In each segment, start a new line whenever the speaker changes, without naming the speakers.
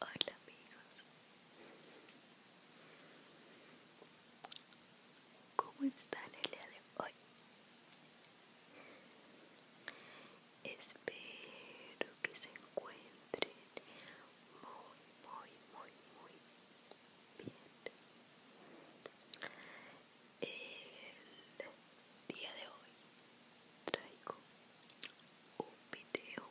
Hola amigos, ¿cómo está el día de hoy? Espero que se encuentren muy, muy, muy, muy bien. El día de hoy traigo un video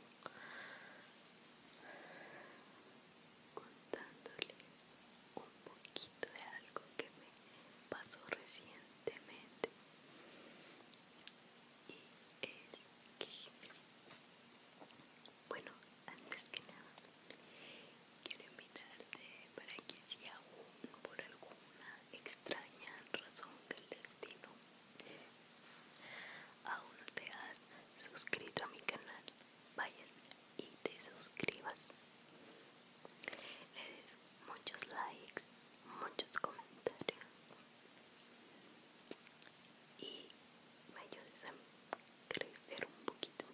contándoles un poquito de algo que me pasó recientemente y es que bueno, antes que nada, quiero invitarte para que si aún por alguna extraña razón del destino aún no te has suscrito a mi canal, vayas y te suscribas. Le des muchos likes, muchos comentarios y me ayuda a crecer un poquito.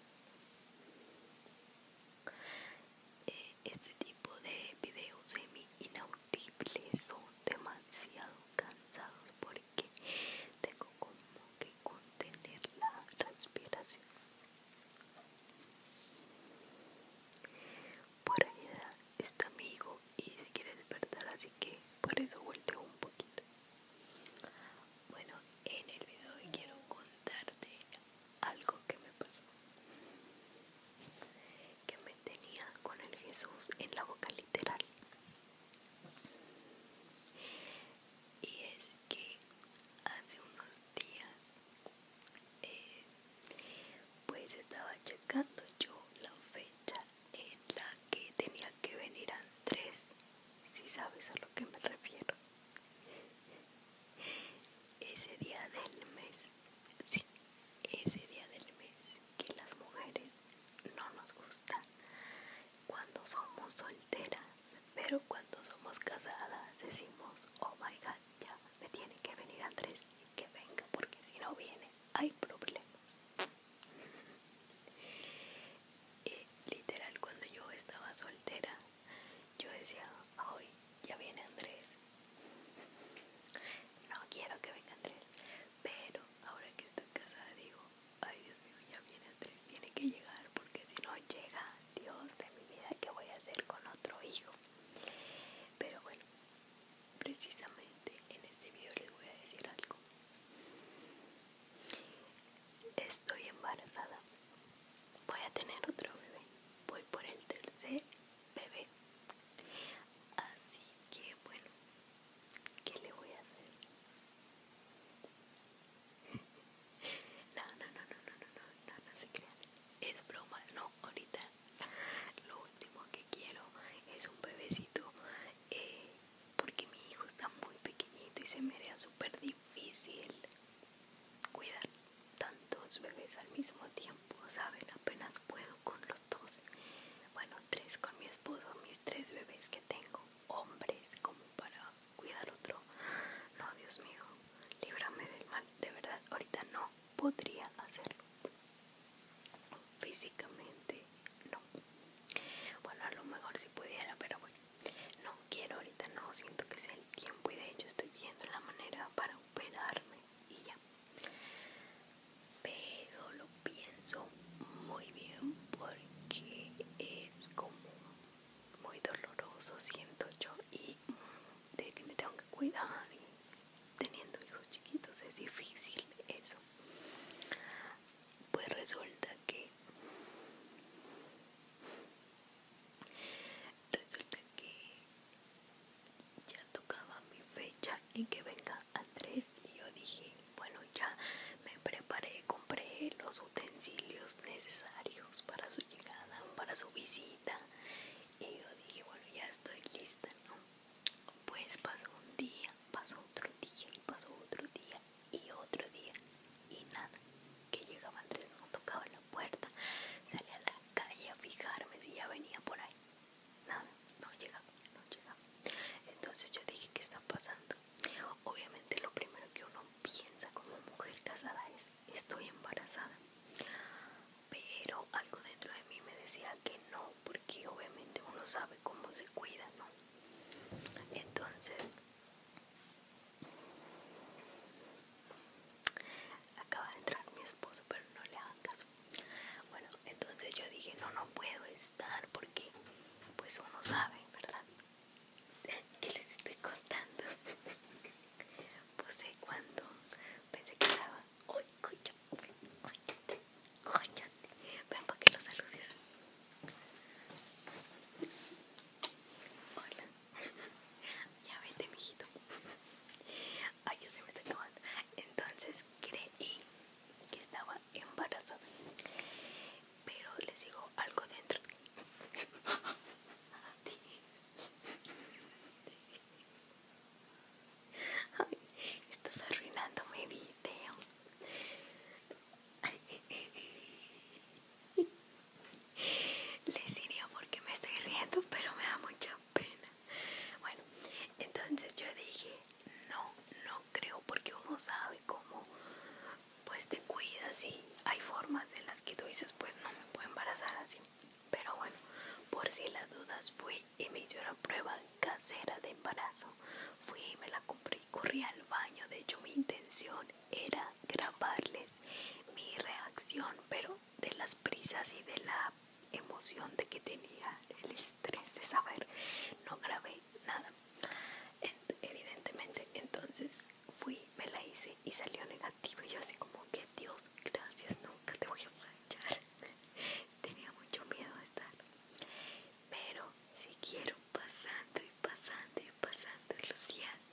Eh, este tipo de videos semi inaudibles son demasiado cansados porque tengo como que contener la respiración. Por ayudar está amigo y se quiere despertar así que por eso volteo un poquito bueno en el video hoy quiero contarte algo que me pasó que me tenía con el Jesús en la boca literal y es que hace unos días eh, pues estaba checando yo la fecha en la que tenía que venir Andrés, si sabes a lo que me refiero. Ese día del mes, sí, ese día del mes que las mujeres no nos gustan cuando somos solteras, pero cuando somos casadas decimos, oh my god, ya me tiene que venir Andrés, que venga porque si no viene hay problemas literal cuando yo estaba soltera yo decía Ay ya viene Andrés no quiero que venga Andrés pero ahora que estoy casada digo ay Dios mío ya viene Andrés tiene que llegar porque si no llega Dios de mi vida que voy a hacer con otro hijo pero bueno precisamente en este video les voy a decir algo. Estoy embarazada. Voy a tener otro bebé. Voy por el tercer bebé. Así que bueno, ¿qué le voy a hacer? No, no, no, no, no, no, no, no, no se crean. Es broma, no, ahorita lo último que quiero es un bebecito eh, porque mi hijo está muy pequeñito y se me haría súper difícil cuidar tantos bebés al mismo tiempo, ¿saben? Apenas puedo con los dos. Bueno, tres con mi esposo, mis tres bebés que tengo, hombres, como para cuidar otro. No, Dios mío, líbrame del mal, de verdad, ahorita no podría hacerlo físicamente no bueno a lo mejor si pudiera pero bueno no quiero ahorita no siento que sea el tiempo y de hecho estoy viendo la manera para operarme y ya pero lo pienso muy bien porque es como muy doloroso siento yo y de que me tengo que cuidar teniendo hijos chiquitos es difícil eso pues resulta que resulta que ya tocaba mi fecha y que venga Andrés y yo dije bueno ya me preparé compré los utensilios necesarios para su llegada para su visita y yo dije bueno ya estoy lista no pues pasó un día, pasó otro día, pasó otro día, y otro día, y nada. Que llegaba Andrés, no tocaba la puerta, salía a la calle a fijarme si ya venía por ahí. Nada, no llegaba, no llegaba. Entonces yo dije, ¿qué está pasando? Obviamente lo primero que uno piensa como mujer casada es, estoy embarazada pero algo dentro de mí me decía que no, porque obviamente uno sabe cómo se cuida, ¿no? Entonces, acaba de entrar mi esposo, pero no le hagan caso. Bueno, entonces yo dije, no, no puedo estar porque pues uno sabe, ¿verdad? ¿Qué les estoy contando? Pues eh, cuándo pensé que estaba Uy, coño, cállate, cállate. Ven para que lo saludes. Hola. ya vete, mijito. Ay, ya se me está tomando Entonces creí que estaba embarazada. Pero les digo algo dentro. estás arruinando mi video. Les diría porque me estoy riendo, pero me da mucha pena. Bueno, entonces yo dije, no, no creo porque uno sabe cómo pues te cuidas y hay formas en las que tú dices, pues no me puedo embarazar así. Pero bueno, por si las dudas fui y me hice una prueba casera de embarazo. Fui y me la compré, corrí al baño. De hecho, mi intención era grabarles mi reacción, pero de las prisas y de la emoción de que tenía el estrés de saber, no grabé nada. Evidentemente, entonces fui, me la hice y salió negativo. Y yo así como que Dios, gracias, nunca te voy a manchar tenía mucho miedo de estar pero siguieron pasando y pasando y pasando los días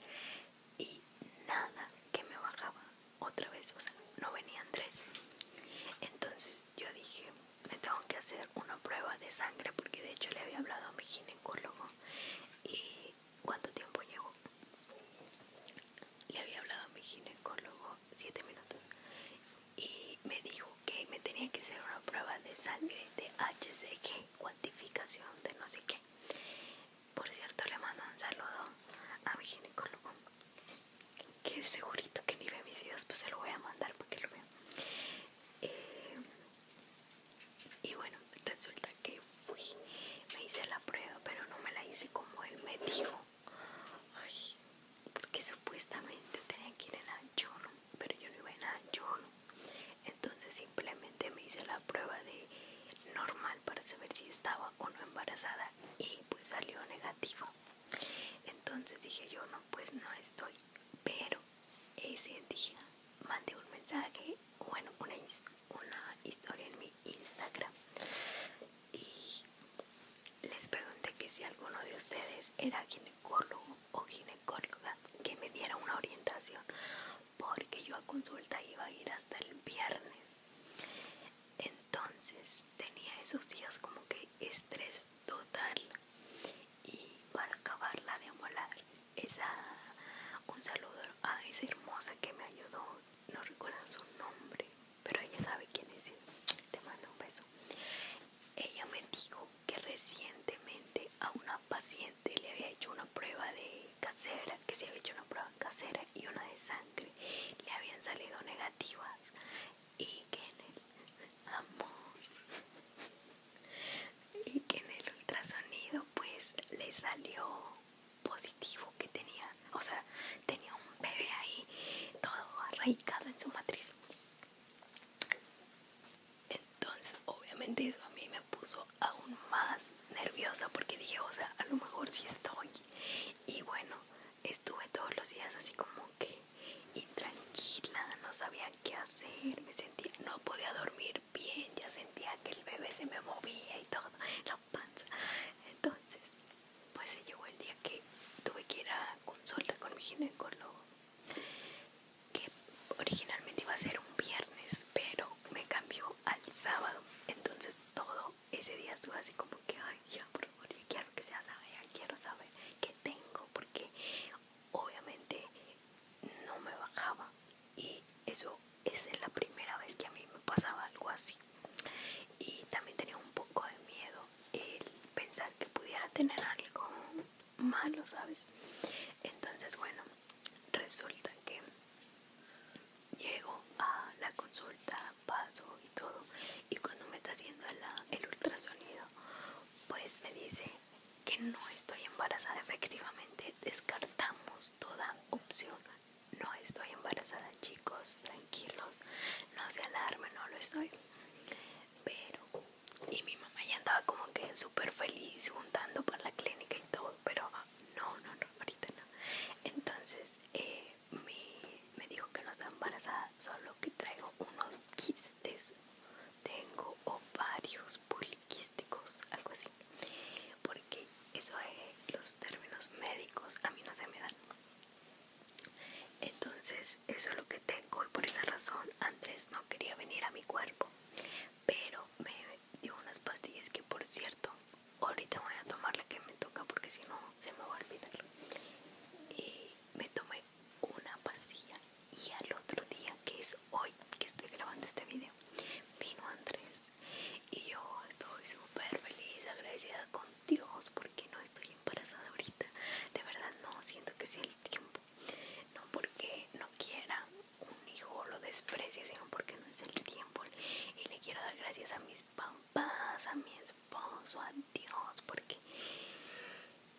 y nada que me bajaba otra vez o sea no venían tres entonces yo dije me tengo que hacer una prueba de sangre porque de hecho le había hablado a mi ginecólogo y cuánto tiempo llegó le había hablado a mi ginecólogo 7 minutos y me dijo que me tenía que hacer una prueba de sangre de HCG, cuantificación de no sé qué. Por cierto, le mando un saludo a mi ginecólogo, que segurito que ni ve mis videos, pues se lo voy a mandar Porque lo vea. Eh, y bueno, resulta que fui, me hice la prueba, pero no me la hice como él me dijo. Ay, porque supuestamente tenía que ir a ayuno, pero yo no iba a ayuno. Entonces simplemente me hice la prueba de normal para saber si estaba o no embarazada y pues salió negativo. Entonces dije yo no, pues no estoy. Pero ese día mandé un mensaje, bueno, una, una historia en mi Instagram y les pregunté que si alguno de ustedes era ginecólogo o ginecóloga que me diera una orientación porque yo a consulta iba a ir hasta el viernes entonces tenía esos días como que estrés total y para acabarla de amolar esa un saludo a esa hermosa que me ayudó no recuerdo su nombre pero ella sabe quién es. Te mando un beso. Ella me dijo que recientemente a una paciente le había hecho una prueba de casera, que se había hecho una prueba casera y una de sangre. Le habían salido negativas. Y que en el amor. Y que en el ultrasonido pues le salió positivo que tenía, o sea, tenía un bebé ahí todo arraigado en su matriz. Entonces, obviamente eso a mí me puso aún más nerviosa porque dije, o sea, a lo mejor sí estoy. Y bueno, estuve todos los días así como que intranquila, no sabía qué hacer, me sentía, no podía dormir bien, ya sentía que el bebé se me movía y todo panza. Entonces, pues se llegó el día que tuve que ir a consulta con mi ginecólogo, que originalmente iba a ser un viernes, pero me cambió al sábado. Entonces, todo ese día estuve así como que, ay, ya, por favor, ya quiero que sea ya quiero saber qué tengo, porque obviamente no me bajaba y eso es la primera vez que a mí me pasaba algo así y también tenía un poco de miedo el pensar que pudiera tener algo malo, ¿sabes? Entonces, bueno, resulta que llego a la consulta, paso y todo, y cuando me está haciendo el ultrasonido, pues me dice que no estoy embarazada, efectivamente descartamos toda opción no estoy embarazada, chicos, tranquilos, no se alarmen, no lo estoy. Pero, y mi mamá ya andaba como que súper feliz juntando para la clínica y todo, pero ah, no, no, no, ahorita no. Entonces, eh, me dijo que no estaba embarazada, solo que traigo unos quistes. Tengo ovarios poliquísticos, algo así porque eso es los términos médicos a mí no se me dan entonces eso es lo que tengo por esa razón Andrés no quería venir a mi cuerpo pero me dio unas pastillas que por cierto ahorita voy a tomar la que me toca porque si no se me va a olvidar y me tomé una pastilla y al otro día que es hoy que estoy grabando este video vino Andrés y yo estoy súper feliz, agradecida con Dios porque no estoy embarazada ahorita. De verdad no, siento que sea el tiempo. No porque no quiera un hijo lo desprecia sino porque no es el tiempo. Y le quiero dar gracias a mis papás, a mi esposo, a Dios, porque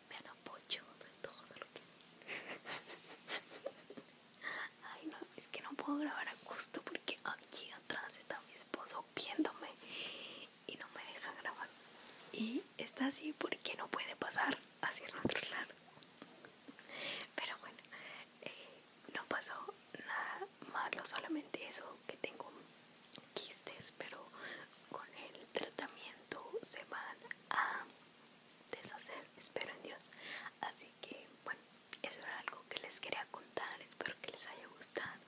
me han apoyado en todo lo que... Ay, no es que no puedo grabar a gusto porque aquí atrás está mi esposo viéndome y no me deja grabar. Y está así porque no puede pasar hacia el otro lado. Pero bueno, eh, no pasó nada malo, solamente eso que tengo quistes, pero con el tratamiento se van a deshacer, espero en Dios. Así que bueno eso era algo que les quería contar espero que les haya gustado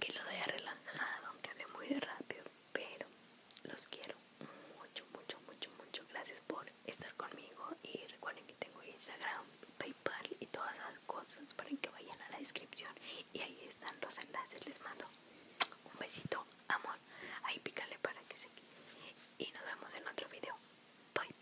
que lo haya relajado aunque hable muy rápido pero los quiero mucho mucho mucho mucho gracias por estar conmigo y recuerden que tengo Instagram Paypal y todas esas cosas para que vayan a la descripción y ahí están los enlaces les mando un besito amor ahí pícale para que se y nos vemos en otro video bye bye